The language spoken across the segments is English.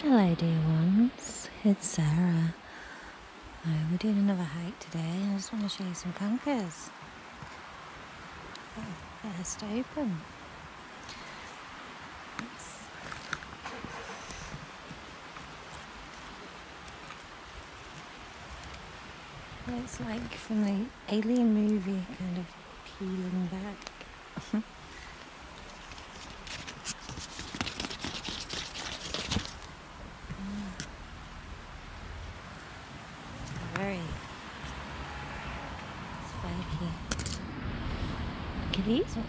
Hello, dear ones. It's Sarah. we're doing another hike today. I just want to show you some conkers. Oh, they're open. It's like from the Alien movie, kind of peeling back. Very mm-hmm. spiky. Look at these ones.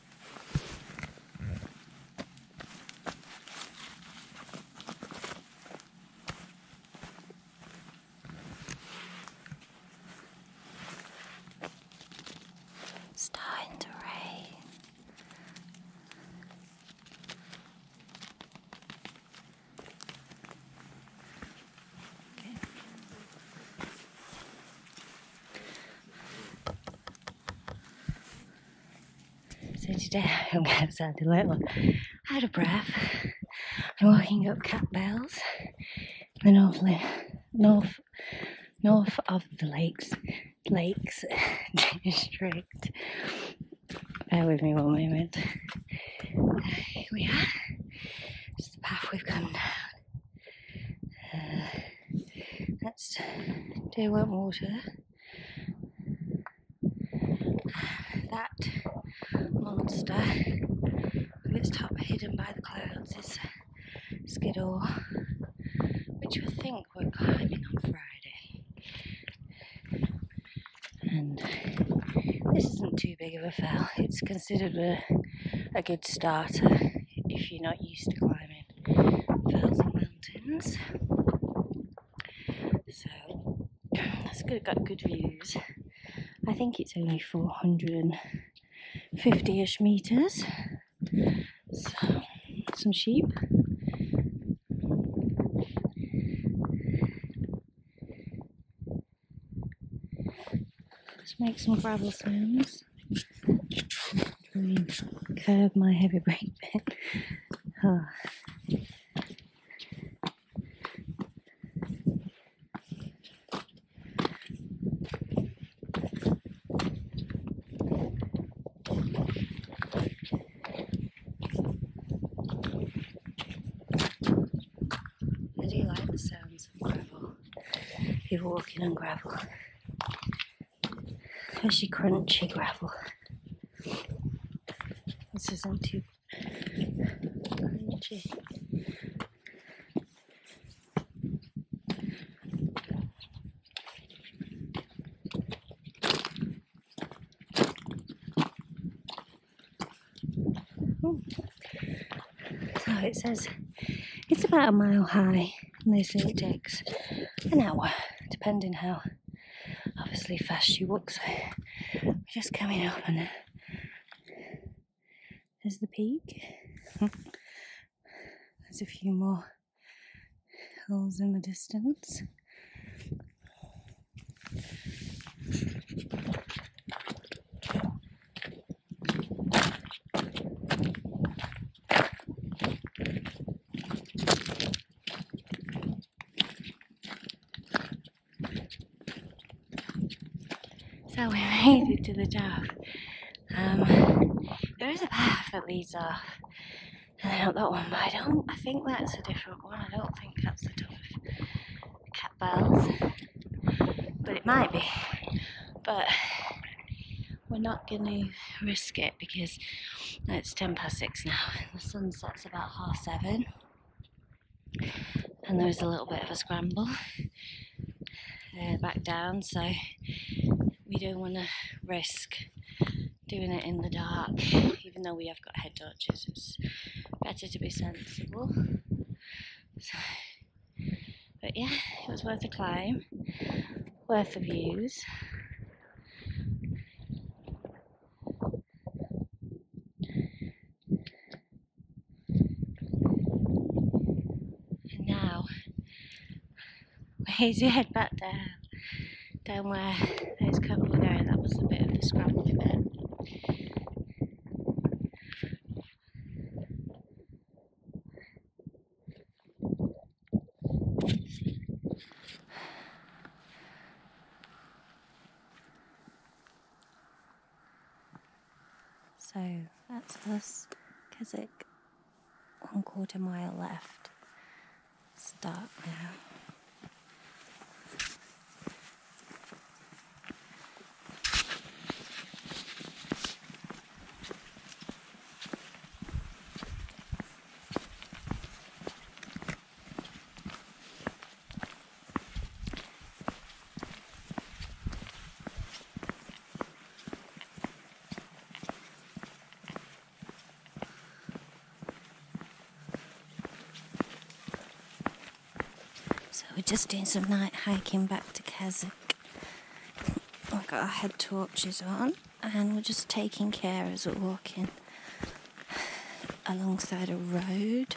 Starting to rain. Okay. So today I'm outside a little out of breath. I'm walking up Catbells, Bells, the north north north of the lakes lakes district. Bear with me one moment. Here we are. It's the path we've come down. Uh, that's dear wet water. That monster with its top hidden by the clouds is Skiddaw, which we think we're climbing on Friday. And this isn't too big of a fell. It's considered a good starter if you're not used to climbing. Thousand Mountains. So that's good, got good views. I think it's only 450 ish meters. So, some sheep. Let's make some gravel sounds curve my heavy brake bit. Oh. Ah. I do like the sounds of gravel, people walking on gravel. Fishy crunchy gravel. This isn't too crunchy. Ooh. So it says it's about a mile high and they say it takes an hour, depending how obviously fast she walks. we're just coming up and there's the peak. There's a few more hills in the distance. So we made it to the top. Um, there is a path that leads off. And out that one, but I don't, I think that's a different one. I don't think that's the top of Cat But it might be. But we're not going to risk it because it's 10 past 6 now the sun sets about half 7 and there was a little bit of a scramble uh, back down so we don't want to risk doing it in the dark even though we have got head torches it's better to be sensible but yeah, it was worth the climb, worth the views. And now, ways we head back down, down where those couple were going. That was a bit of the scrambly bit. So that's us, Keswick. One quarter mile left. It's now. So we're just doing some night hiking back to Kazak we have got our head torches on, and we're just taking care as we're walking alongside a road.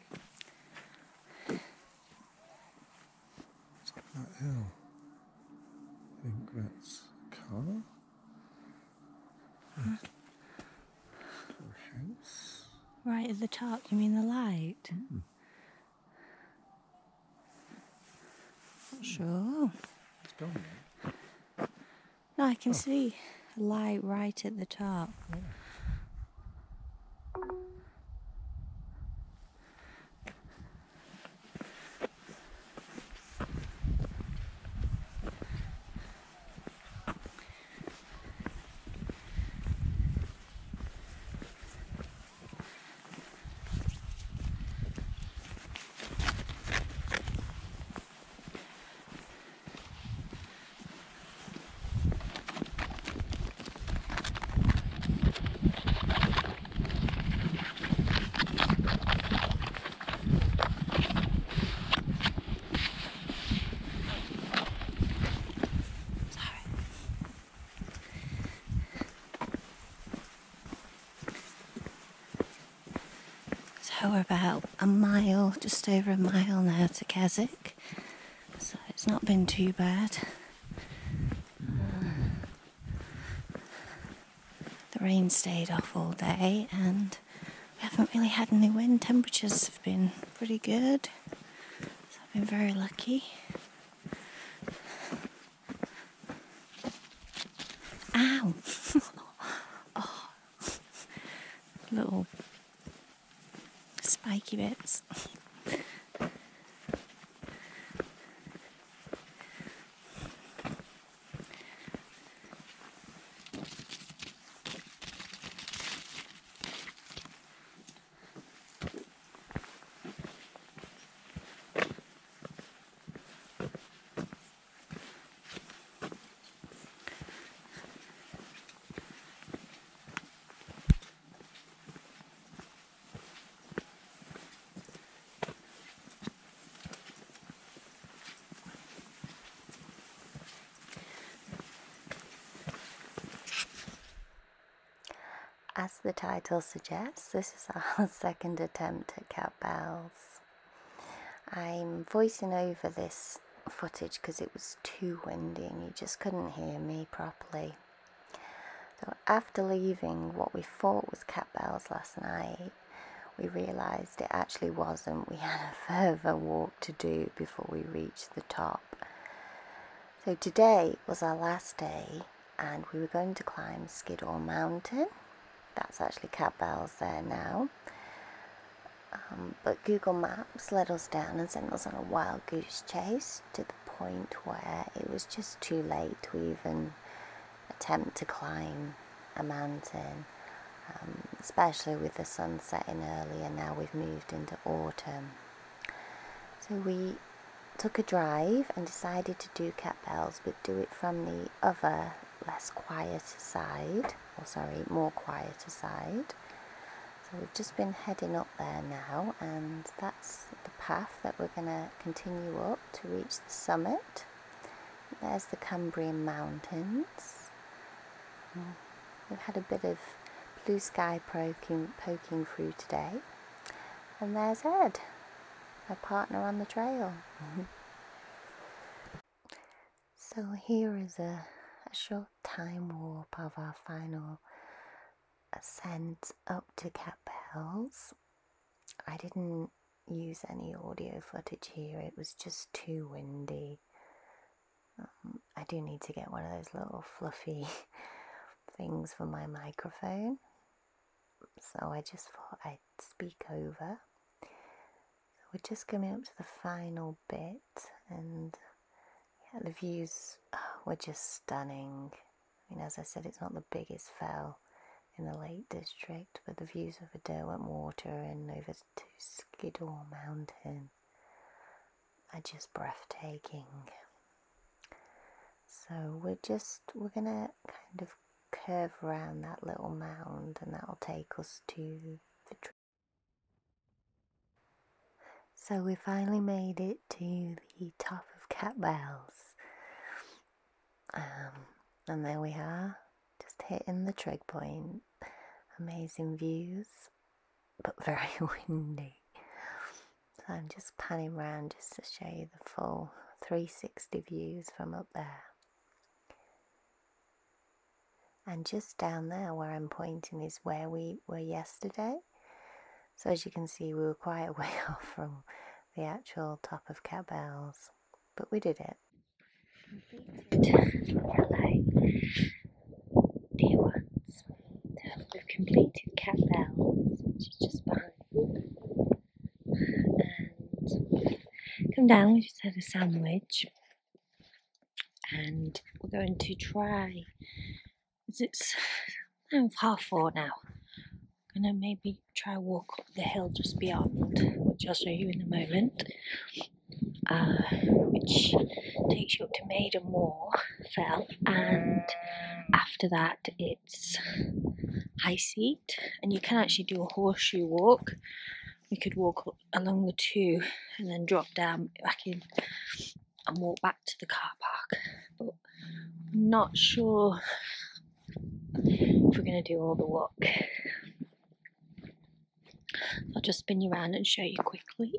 What's coming I think that's a car. house. Right at the top, you mean the light? Hmm. Not sure. It's gone now. No, I can oh. see. Light right at the top. So we're about a mile, just over a mile now to Keswick so it's not been too bad. Um, the rain stayed off all day, and we haven't really had any wind. Temperatures have been pretty good, so I've been very lucky. Ow! oh. Little spiky bits. As the title suggests, this is our second attempt at cat bells. I'm voicing over this footage because it was too windy and you just couldn't hear me properly. So after leaving what we thought was Cat Bells last night, we realised it actually wasn't. We had a further walk to do before we reached the top. So today was our last day and we were going to climb Skiddaw Mountain. That's actually Cat Bells there now. Um, but Google Maps let us down and sent us on a wild goose chase to the point where it was just too late to even attempt to climb a mountain, um, especially with the sun setting early and now we've moved into autumn. So we took a drive and decided to do cat but do it from the other less quiet side or oh, sorry, more quieter side. So we've just been heading up there now, and that's the path that we're going to continue up to reach the summit. There's the Cumbrian Mountains. We've had a bit of blue sky poking, poking through today. And there's Ed, my partner on the trail. So, here is a, short time warp of our final ascent up to Capels. I didn't use any audio footage here, it was just too windy. Um, I do need to get one of those little fluffy things for my microphone. So I just thought I'd speak over we're just coming up to the final bit and the views oh, were just stunning. I mean, as I said, it's not the biggest fell in the Lake District, but the views over Derwent Water and over to Skiddaw Mountain are just breathtaking. So we're just, we're going to kind of curve around that little mound and that'll take us to the so we finally made it to the top of Cat Bells. Um, and there we are, just hitting the trig point. Amazing views, but very windy. So I'm just panning around just to show you the full 360 views from up there. And just down there where I'm pointing is where we were yesterday. So as you can see, we were quite a way off from the actual top of Cat but we did it. Completed dear ones. We've completed Cat just behind. And come down, we just had a sandwich and we're going to try it's half four now I'm gonna maybe try walk up the hill just beyond which I'll show you in a moment uh, which takes you up to Maiden Moor fell and after that it's high seat and you can actually do a horseshoe walk we could walk up along the two and then drop down back in and walk back to the car park. But I'm not sure if we're going to do all the walk. I'll just spin you around and show you quickly.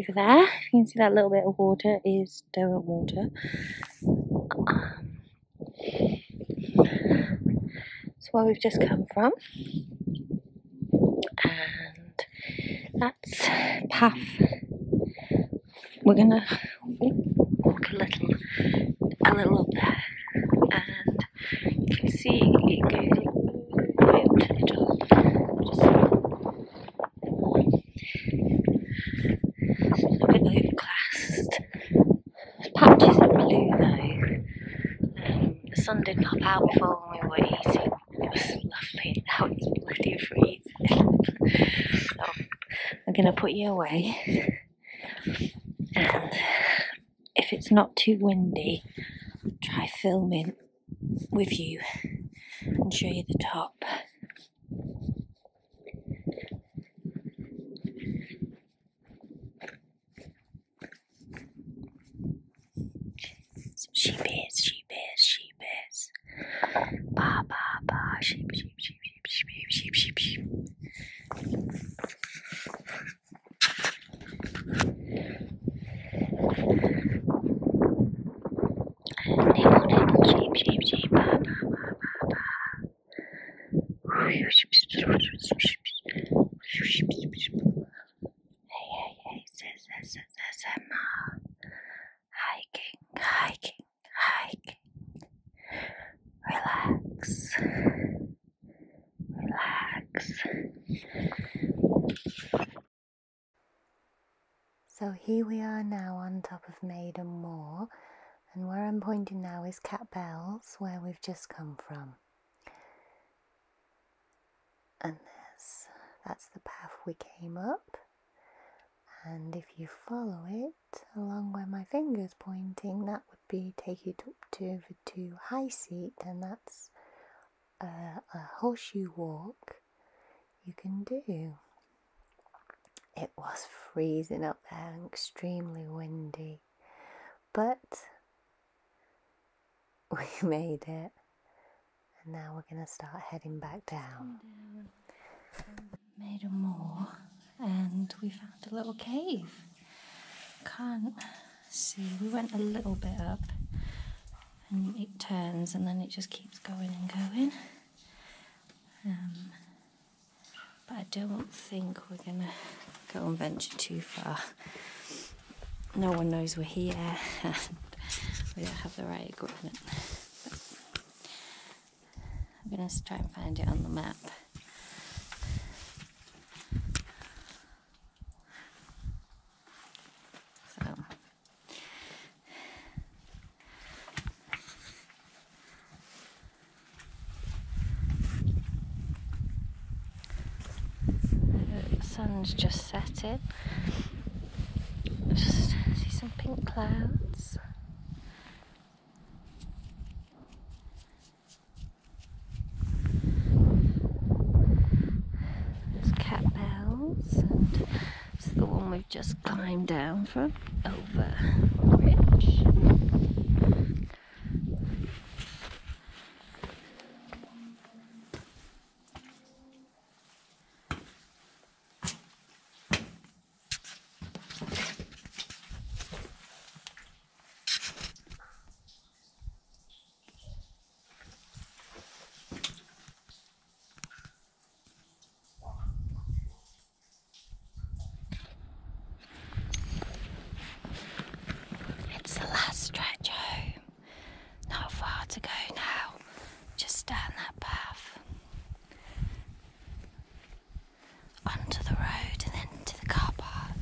Over there, you can see that little bit of water is Derwent water. That's where we've just come from. And that's path. We're gonna walk a little, a little up there, and you can see it going up to the top a bit overcast. Patches of blue though. Um, the sun did pop out before we were eating. It was lovely. Now it's bloody freezing. so oh, I'm gonna put you away. And if it's not too windy, try filming with you and show you the top. Some sheep is, sheep is, sheep is. Ba ba ba, sheep, sheep, sheep, sheep, sheep, sheep, sheep, sheep, sheep, sheep, ba ba ba ba ba. Hey, hey, hey, this is SMR. Hiking, hiking, hiking. Relax. Relax. So here we are now on top of Maiden Moor and where I'm pointing now is Catbells, where we've just come from. And there's, that's the path we came up and if you follow it along where my finger's pointing that would be take you up to the to high seat and that's a horseshoe walk you can do it was freezing up there and extremely windy, but we made it. And now we're going to start heading back down. Made a moor and we found a little cave. Can't see, we went a little bit up and it turns and then it just keeps going and going. Um, but I don't think we're going to go and venture too far. No one knows we're here and we don't have the right equipment. I'm going to try and find it on the map. So the sun's just setting. Just see some pink clouds. There's cat bells and it's the one we've just climbed down from over the ridge. It's the last stretch home. Not far to go now. Just down that path. Onto the road and then to the car park.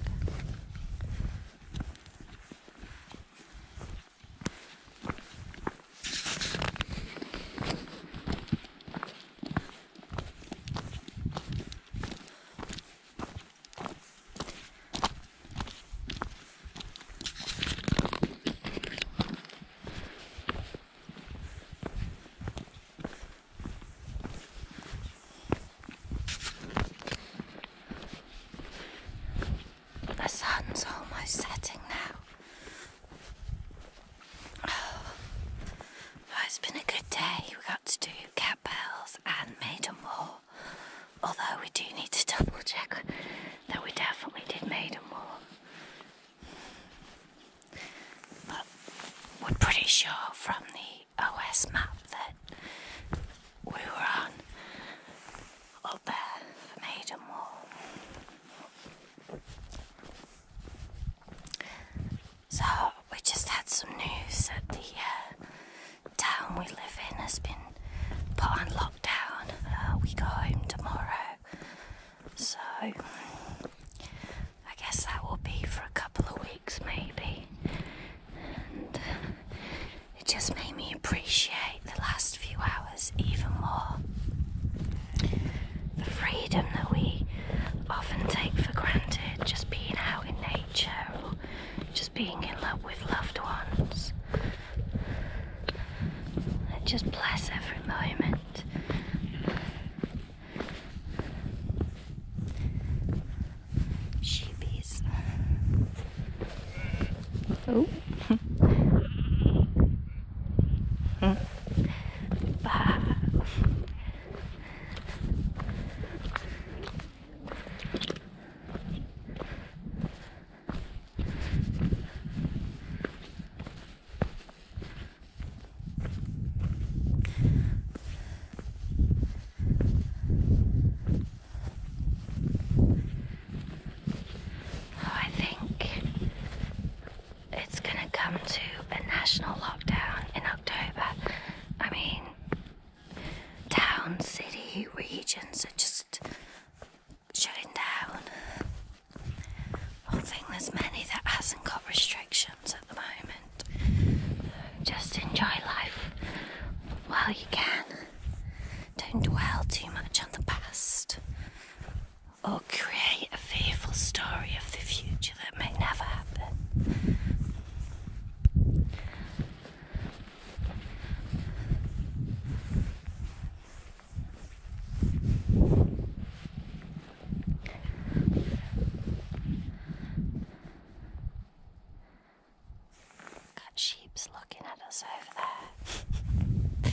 The sun's almost setting now. it's been a good day. We got to do cat bells and Maidenmore. Although we do need to double check that we definitely did Maidenmore. But we're pretty sure from the OS map that we were on up there for Maidenmore. So, we just had some news that the uh, town we live in has been put on lockdown. Uh, we go home tomorrow. So, I guess that will be for a couple of weeks maybe. And it just made me appreciate the last few hours even more. The freedom that we often take for granted, just being out in nature or just being in love with loved ones. and just bless every moment. Sheepies. Oh. Bye. Oh, it's gonna come to a national lockdown in October. I mean, town, city, regions are just shutting down. I think there's many that hasn't got restrictions at the moment. Just enjoy life while you can. Don't dwell too much on the past or create a fearful story of the future that may never happen. Got sheep's looking at us over there.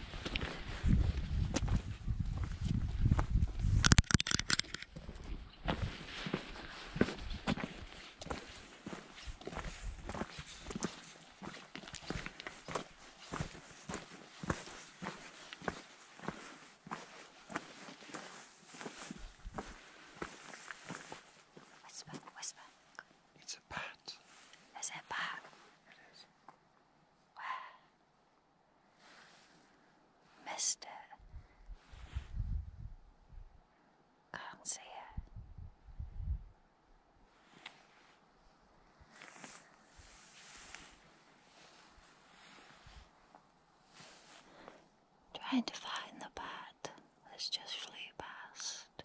Whisper, whisper. It's a bat. Is it a bat? It is. Where? Missed it. Can't see it. Trying to find the bat that's just flew past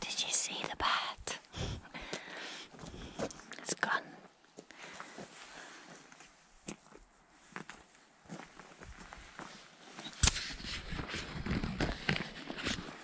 Did you see the bat? it's gone.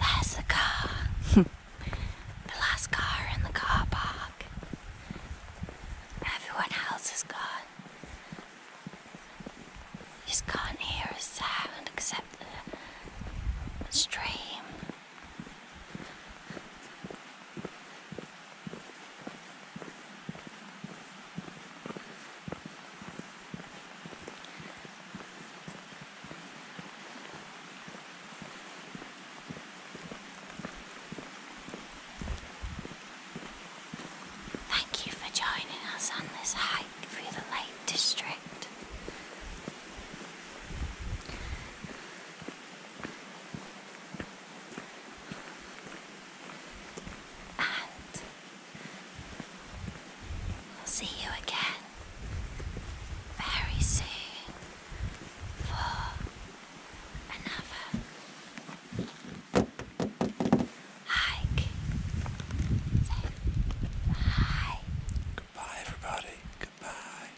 There's a car. the last car in the car park. Everyone else is gone. You just can't hear a sound except the stream. Thank you for joining us on this hike through the Lake District. And I'll see you again very soon for another hike. So, bye. Goodbye, everybody. Goodbye.